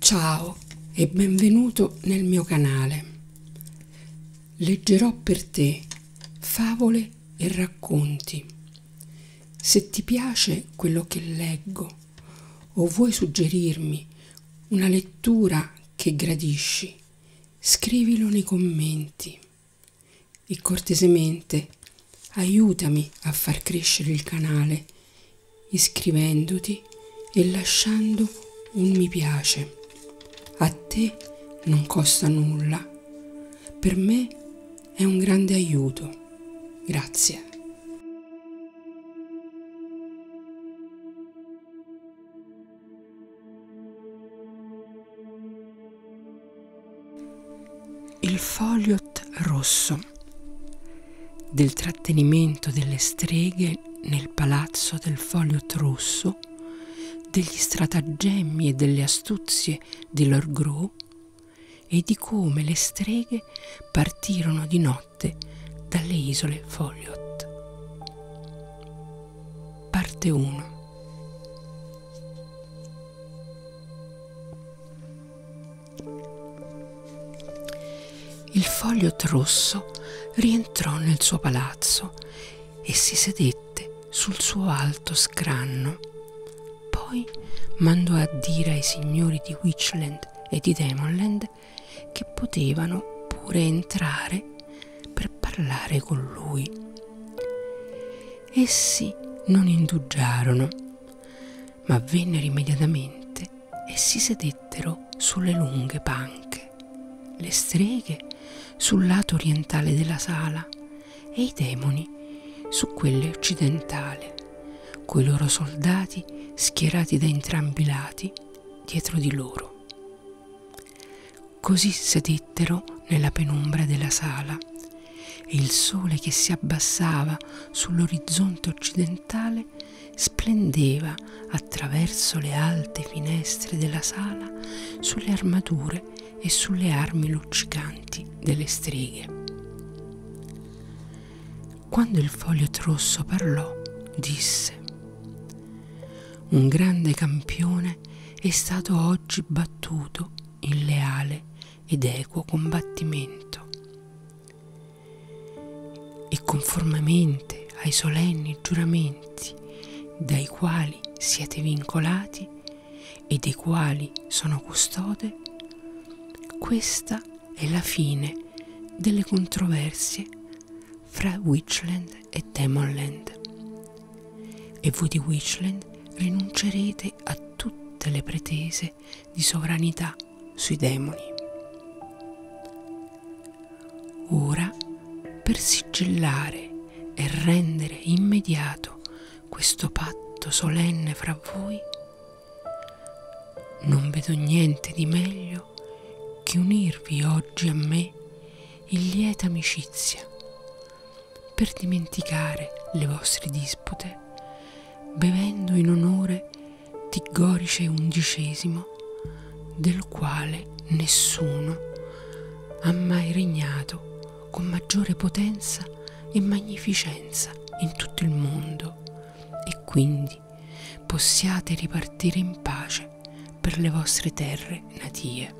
Ciao e benvenuto nel mio canale. Leggerò per te favole e racconti. Se ti piace quello che leggo o vuoi suggerirmi una lettura che gradisci, scrivilo nei commenti e cortesemente aiutami a far crescere il canale iscrivendoti e lasciando un mi piace. A te non costa nulla, per me è un grande aiuto. Grazie. Il foliot rosso del trattenimento delle streghe nel palazzo del foliot rosso, degli stratagemmi e delle astuzie di Lord Gros e di come le streghe partirono di notte dalle isole Foliot. Parte 1 Il foglio rosso rientrò nel suo palazzo e si sedette sul suo alto scranno. Poi mandò a dire ai signori di Witchland e di Demonland che potevano pure entrare per parlare con lui. Essi non indugiarono, ma vennero immediatamente e si sedettero sulle lunghe panche, le streghe sul lato orientale della sala e i demoni su quelle occidentale, coi loro soldati schierati da entrambi i lati dietro di loro. Così sedettero nella penombra della sala e il sole che si abbassava sull'orizzonte occidentale splendeva attraverso le alte finestre della sala sulle armature e sulle armi luccicanti delle streghe. Quando il foglio rosso parlò, disse: Un grande campione è stato oggi battuto in leale ed equo combattimento. E conformemente ai solenni giuramenti dai quali siete vincolati e dei quali sono custode, questa è la fine delle controversie fra Witchland e Demonland. E voi di Witchland rinuncerete a tutte le pretese di sovranità sui demoni. Ora, per sigillare e rendere immediato questo patto solenne fra voi, non vedo niente di meglio che unirvi oggi a me in lieta amicizia. Per dimenticare le vostre dispute, bevendo in onore di Gorice XI, del quale nessuno ha mai regnato con maggiore potenza e magnificenza in tutto il mondo e quindi possiate ripartire in pace pace per le vostre terre natie.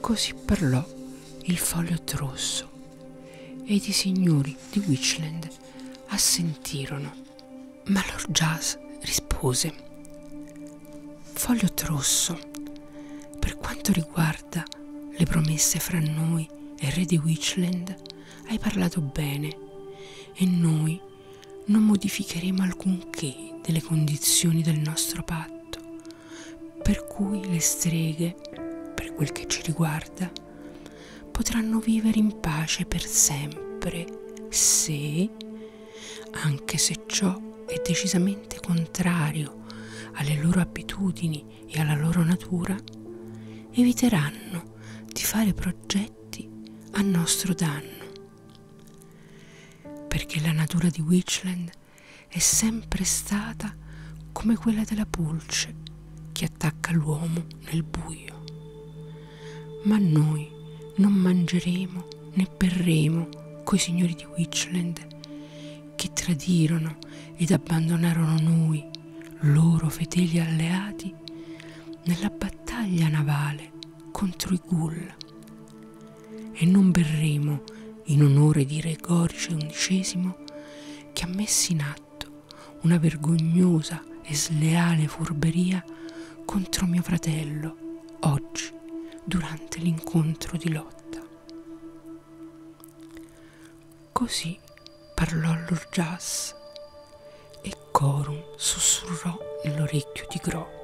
Così parlò il foglio rosso ed i signori di Witchland assentirono, ma Lord Jazz rispose Foglio rosso, per quanto riguarda le promesse fra noi e re di Witchland, hai parlato bene e noi non modificheremo alcunché delle condizioni del nostro patto, per cui le streghe, per quel che ci riguarda, potranno vivere in pace per sempre se, anche se ciò è decisamente contrario alle loro abitudini e alla loro natura, eviteranno di fare progetti effetti a nostro danno, perché la natura di Witchland è sempre stata come quella della pulce che attacca l'uomo nel buio. Ma noi non mangeremo né berremo coi signori di Witchland che tradirono ed abbandonarono noi, loro fedeli alleati, nella battaglia navale contro i Gul e non berremo in onore di Re Gorgio XI che ha messo in atto una vergognosa e sleale furberia contro mio fratello oggi durante l'incontro di lotta. Così parlò Lord Jas e Corun sussurrò nell'orecchio di Gro.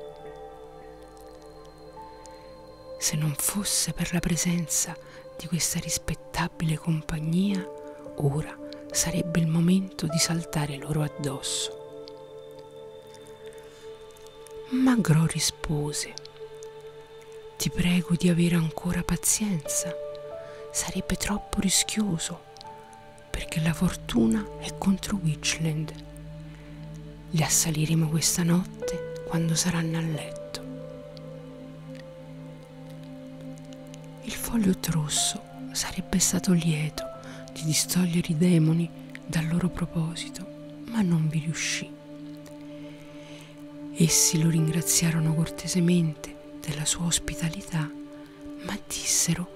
Se non fosse per la presenza di questa rispettabile compagnia, ora sarebbe il momento di saltare loro addosso. Ma Gro rispose, ti prego di avere ancora pazienza, sarebbe troppo rischioso, perché la fortuna è contro Witchland. Li assaliremo questa notte quando saranno a letto. Il Foliot Rosso sarebbe stato lieto di distogliere i demoni dal loro proposito, ma non vi riuscì. Essi lo ringraziarono cortesemente della sua ospitalità ma dissero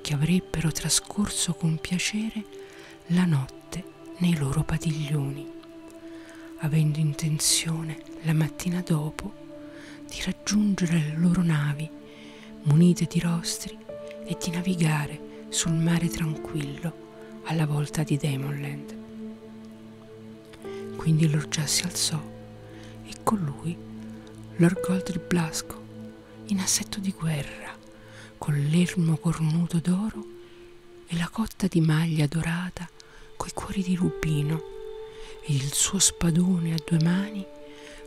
che avrebbero trascorso con piacere la notte nei loro padiglioni, avendo intenzione la mattina dopo di raggiungere le loro navi munite di rostri e di navigare sul mare tranquillo alla volta di Demonland. Quindi Lord Già si alzò e con lui Lord Gold il Blasco, in assetto di guerra, con l'ermo cornuto d'oro e la cotta di maglia dorata coi cuori di rubino e il suo spadone a due mani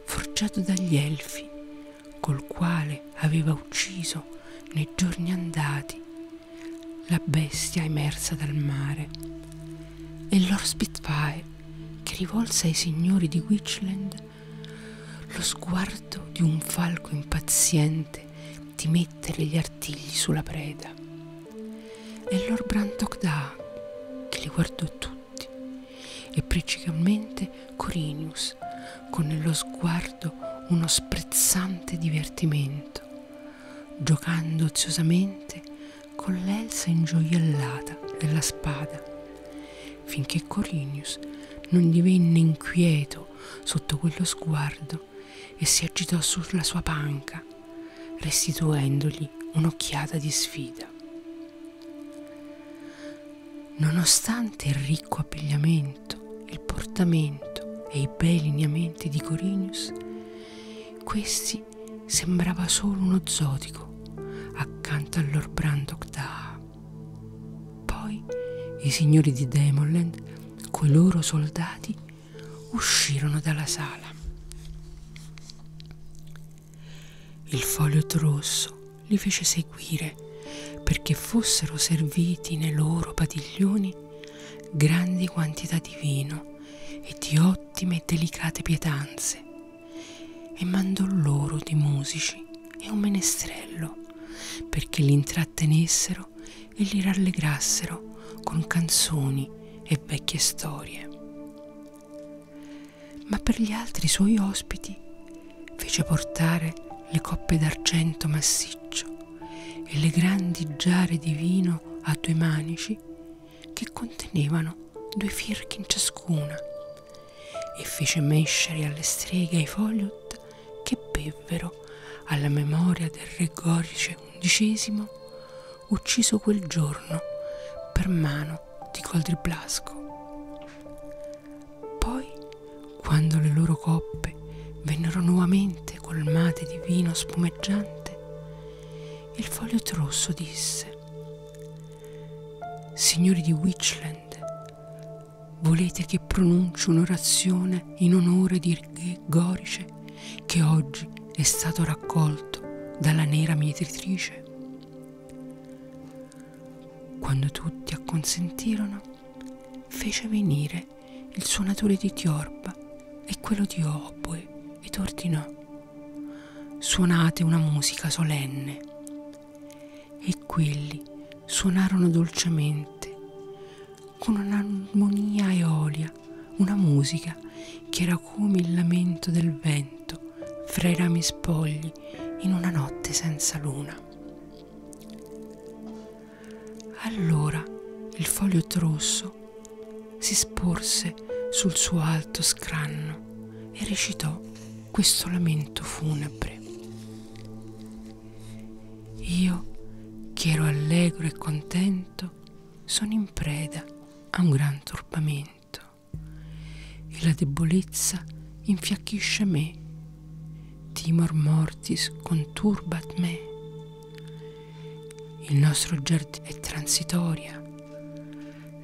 forgiato dagli elfi, col quale aveva ucciso nei giorni andati la bestia emersa dal mare e Lord Spitfire che rivolse ai signori di Witchland lo sguardo di un falco impaziente di mettere gli artigli sulla preda. E Lord Brantock Da, che li guardò tutti, e principalmente Corinius, con nello sguardo uno sprezzante divertimento, giocando oziosamente con l'elsa ingioiellata della spada, finché Corinius non divenne inquieto sotto quello sguardo e si agitò sulla sua panca, restituendogli un'occhiata di sfida. Nonostante il ricco abbigliamento, il portamento e i bei lineamenti di Corinius, questi lei sembrava solo uno zotico accanto al Lord Brandok da. Poi i signori di Demonland coi loro soldati uscirono dalla sala. Il foglio rosso li fece seguire perché fossero serviti nei loro padiglioni grandi quantità di vino e di ottime e delicate pietanze, e mandò loro di musici e un menestrello perché li intrattenessero e li rallegrassero con canzoni e vecchie storie. Ma per gli altri suoi ospiti fece portare le coppe d'argento massiccio e le grandi giare di vino a due manici che contenevano due firchi in ciascuna, e fece mescere alle streghe ai foliot che bevvero alla memoria del re Gorice XI, ucciso quel giorno per mano di Coldriblasco. Poi, quando le loro coppe vennero nuovamente colmate di vino spumeggiante, il foglio rosso disse, Signori di Witchland, volete che pronunci un'orazione in onore di Gorice che oggi è stato raccolto dalla nera mietitrice? Quando tutti acconsentirono, fece venire il suonatore di Tiorba e quello di Oboe ed ordinò Suonate una musica solenne. E quelli suonarono dolcemente, con un'armonia eolia, una musica che era come il lamento del vento fra i rami spogli in una notte senza luna. Allora il foglio rosso mano, si sporse sul suo alto scranno e recitò questo lamento funebre. Io, che ero allegro e contento, sono in preda a un gran turbamento e la debolezza infiacchisce me, timor mortis conturbat me il nostro giardino è transitoria,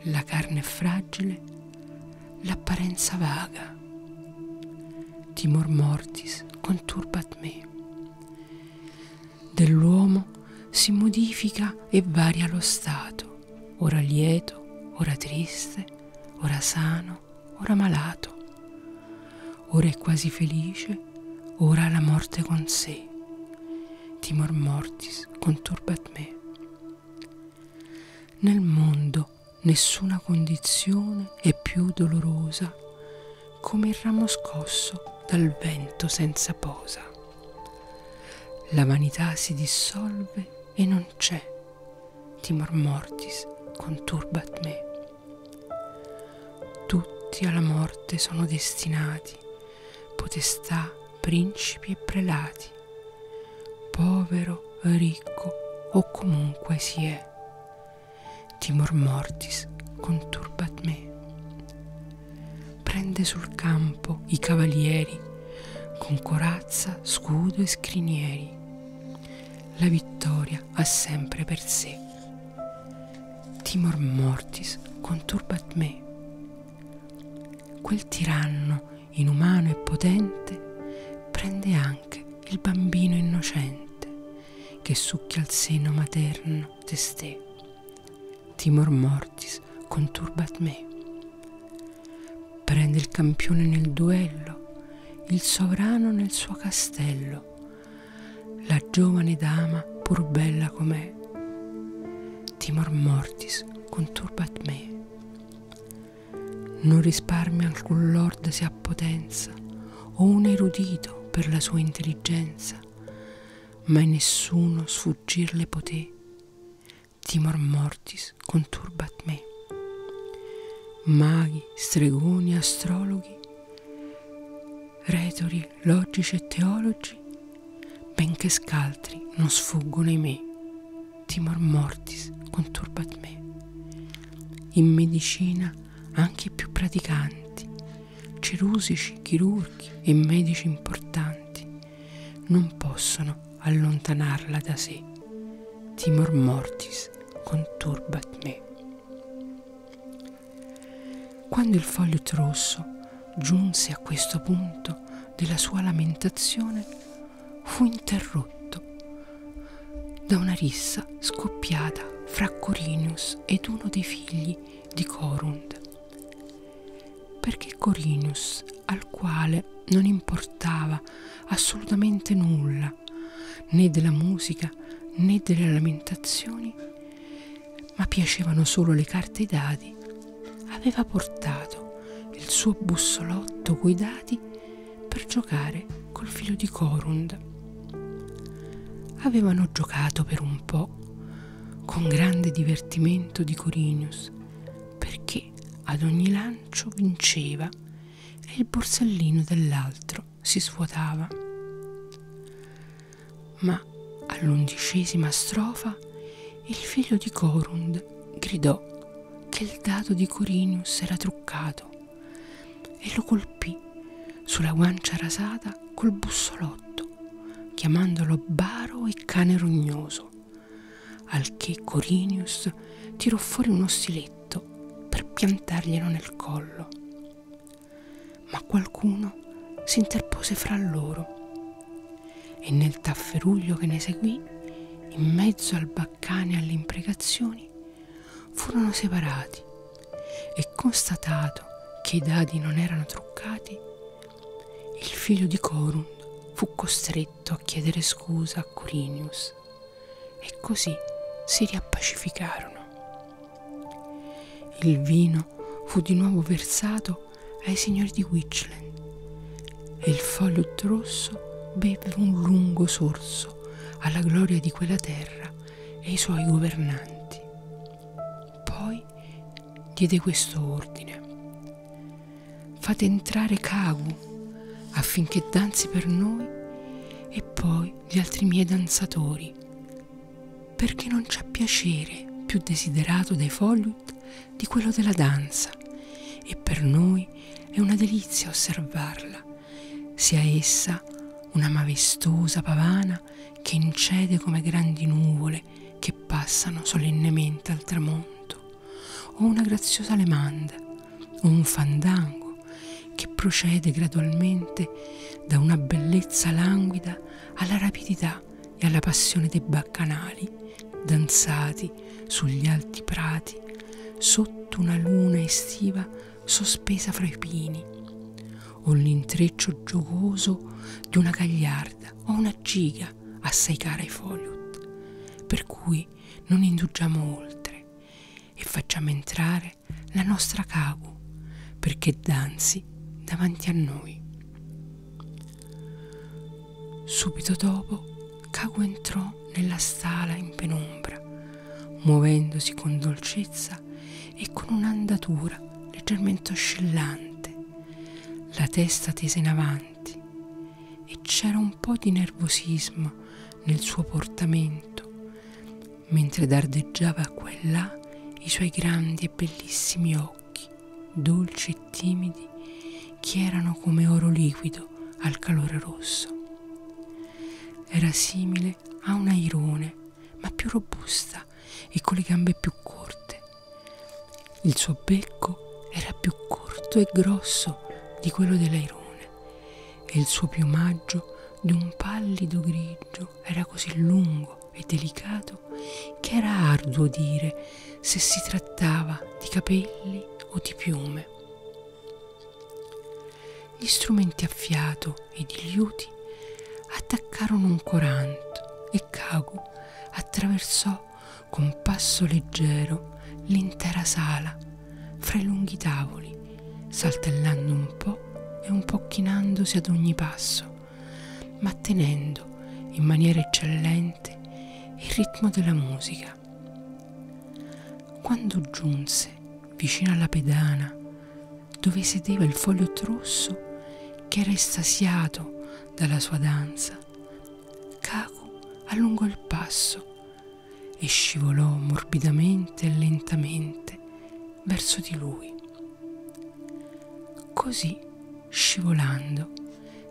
la carne è fragile, l'apparenza vaga. Timor mortis conturbat me. Dell'uomo si modifica e varia lo stato, ora lieto, ora triste, ora sano, ora malato. Ora è quasi felice, dolore, ora la morte con sé, timor mortis conturbat me. Nel mondo nessuna condizione è più dolorosa come il ramo scosso dal vento senza posa. La vanità si dissolve e non c'è, timor mortis conturbat me. Tutti alla morte sono destinati soldati, potestà, principi e prelati, povero, ricco o comunque si è. Timor mortis conturbat me. Prende sul campo i cavalieri, con corazza, scudo e scrinieri. La vittoria ha sempre per sé Timor mortis conturbat me. Quel tiranno inumano e potente prende anche il bambino innocente che succhia il seno materno testé. Timor mortis conturbat me. Prende il campione nel duello, il sovrano nel suo castello, la giovane dama pur bella com'è, timor mortis conturbat me. Non risparmia alcun lord se ha potenza, o un erudito per la sua intelligenza, mai nessuno sfuggirle poté, timor mortis conturbat me. Maghi, stregoni, astrologhi, retori, logici e teologi, benché scaltri, non sfuggono ai me, timor mortis conturbat me. In medicina anche i più praticanti, cerusici, chirurghi e medici importanti, non possono allontanarla da sé, timor mortis conturbat me. Quando il fogliot rosso giunse a questo punto della sua lamentazione, fu interrotto da una rissa scoppiata fra Corinius ed uno dei figli di Corund, perché Corinius, al quale non importava assolutamente nulla né della musica né delle lamentazioni, ma piacevano solo le carte e i dadi, aveva portato il suo bussolotto coi dadi per giocare col filo di Corund. Avevano giocato per un po' con grande divertimento di Corinius, perché ad ogni lancio vinceva e il borsellino dell'altro si svuotava. Ma all'undicesima strofa il figlio di Corund gridò che il dado di Corinius era truccato e lo colpì sulla guancia rasata col bussolotto, chiamandolo baro e cane rognoso, al che Corinius tirò fuori uno stiletto per piantarglielo nel collo ma qualcuno si interpose fra loro e nel tafferuglio che ne seguì, in mezzo al baccane e alle imprecazioni, furono separati e constatato che i dadi non erano truccati, il figlio di Corund fu costretto a chiedere scusa a Corinius e così si riappacificarono. Il vino fu di nuovo versato ai signori di Witchland e il Follot rosso beve un lungo sorso alla gloria di quella terra e i suoi governanti. Poi diede questo ordine. Fate entrare Kagu affinché danzi per noi e poi gli altri miei danzatori, perché non c'è piacere più desiderato dai Folliot di quello della danza, e per noi è una delizia osservarla, sia essa una maestosa pavana che incede come grandi nuvole che passano solennemente al tramonto, o una graziosa lemanda, o un fandango che procede gradualmente da una bellezza languida alla rapidità e alla passione dei baccanali, danzati sugli alti prati, sotto una luna estiva sospesa fra i pini, o l'intreccio giocoso di una gagliarda o una giga assai cara ai foliot, per cui non indugiamo oltre e facciamo entrare fare la nostra Kagu perché danzi davanti a noi. Subito dopo Kagu entrò nella stala in penombra, muovendosi con dolcezza e con un'andatura leggermente oscillante, la testa tesa in avanti e c'era un po' di nervosismo nel suo portamento, mentre dardeggiava qua e là i suoi grandi e bellissimi occhi, dolci e timidi, che erano come oro liquido al calore rosso. Era simile a un airone, ma più robusta e con le gambe più corte. Il suo becco era più corto e grosso di quello dell'airone e il suo piumaggio di un pallido grigio era così lungo e delicato che era arduo dire se si trattava di capelli o di piume. Gli strumenti a fiato ed i liuti attaccarono un coranto e Kagu attraversò con passo leggero l'intera sala fra i lunghi tavoli, saltellando un po' e un po' chinandosi ad ogni passo, ma tenendo in maniera eccellente il ritmo della musica. Quando giunse vicino alla pedana, dove sedeva il foglio rosso che era estasiato dalla sua danza, Kaku allungò il passo e scivolò morbidamente e lentamente verso di lui. Così, scivolando,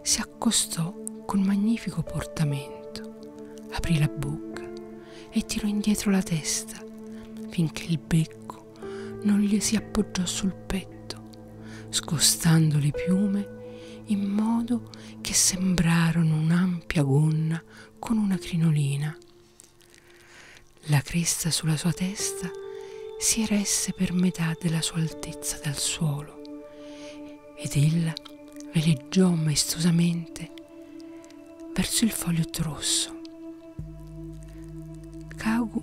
si accostò con magnifico portamento, aprì la bocca e tirò indietro la testa finché il becco non gli si appoggiò sul petto, scostando le piume in modo che sembrarono un'ampia gonna con una crinolina. La cresta sulla sua testa si eresse per metà della sua altezza dal suolo ed ella veleggiò maestosamente verso il foglio rosso. Kagu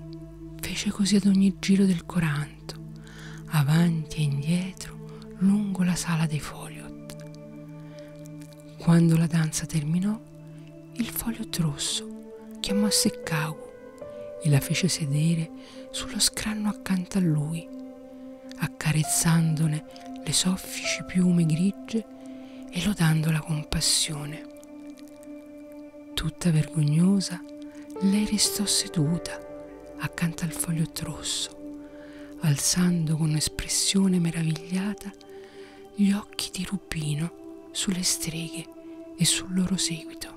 fece così ad ogni giro del coranto, avanti e indietro lungo la sala dei Foliot. Quando la danza terminò, il foglio trosso chiamò Sekkaku e la fece sedere sullo scranno accanto a lui, accarezzandone le soffici piume grigie e lodandola con passione. Tutta vergognosa, lei restò seduta accanto al foglio trosso rosso, alzando con espressione meravigliata gli occhi di Rubino sulle streghe e sul loro seguito.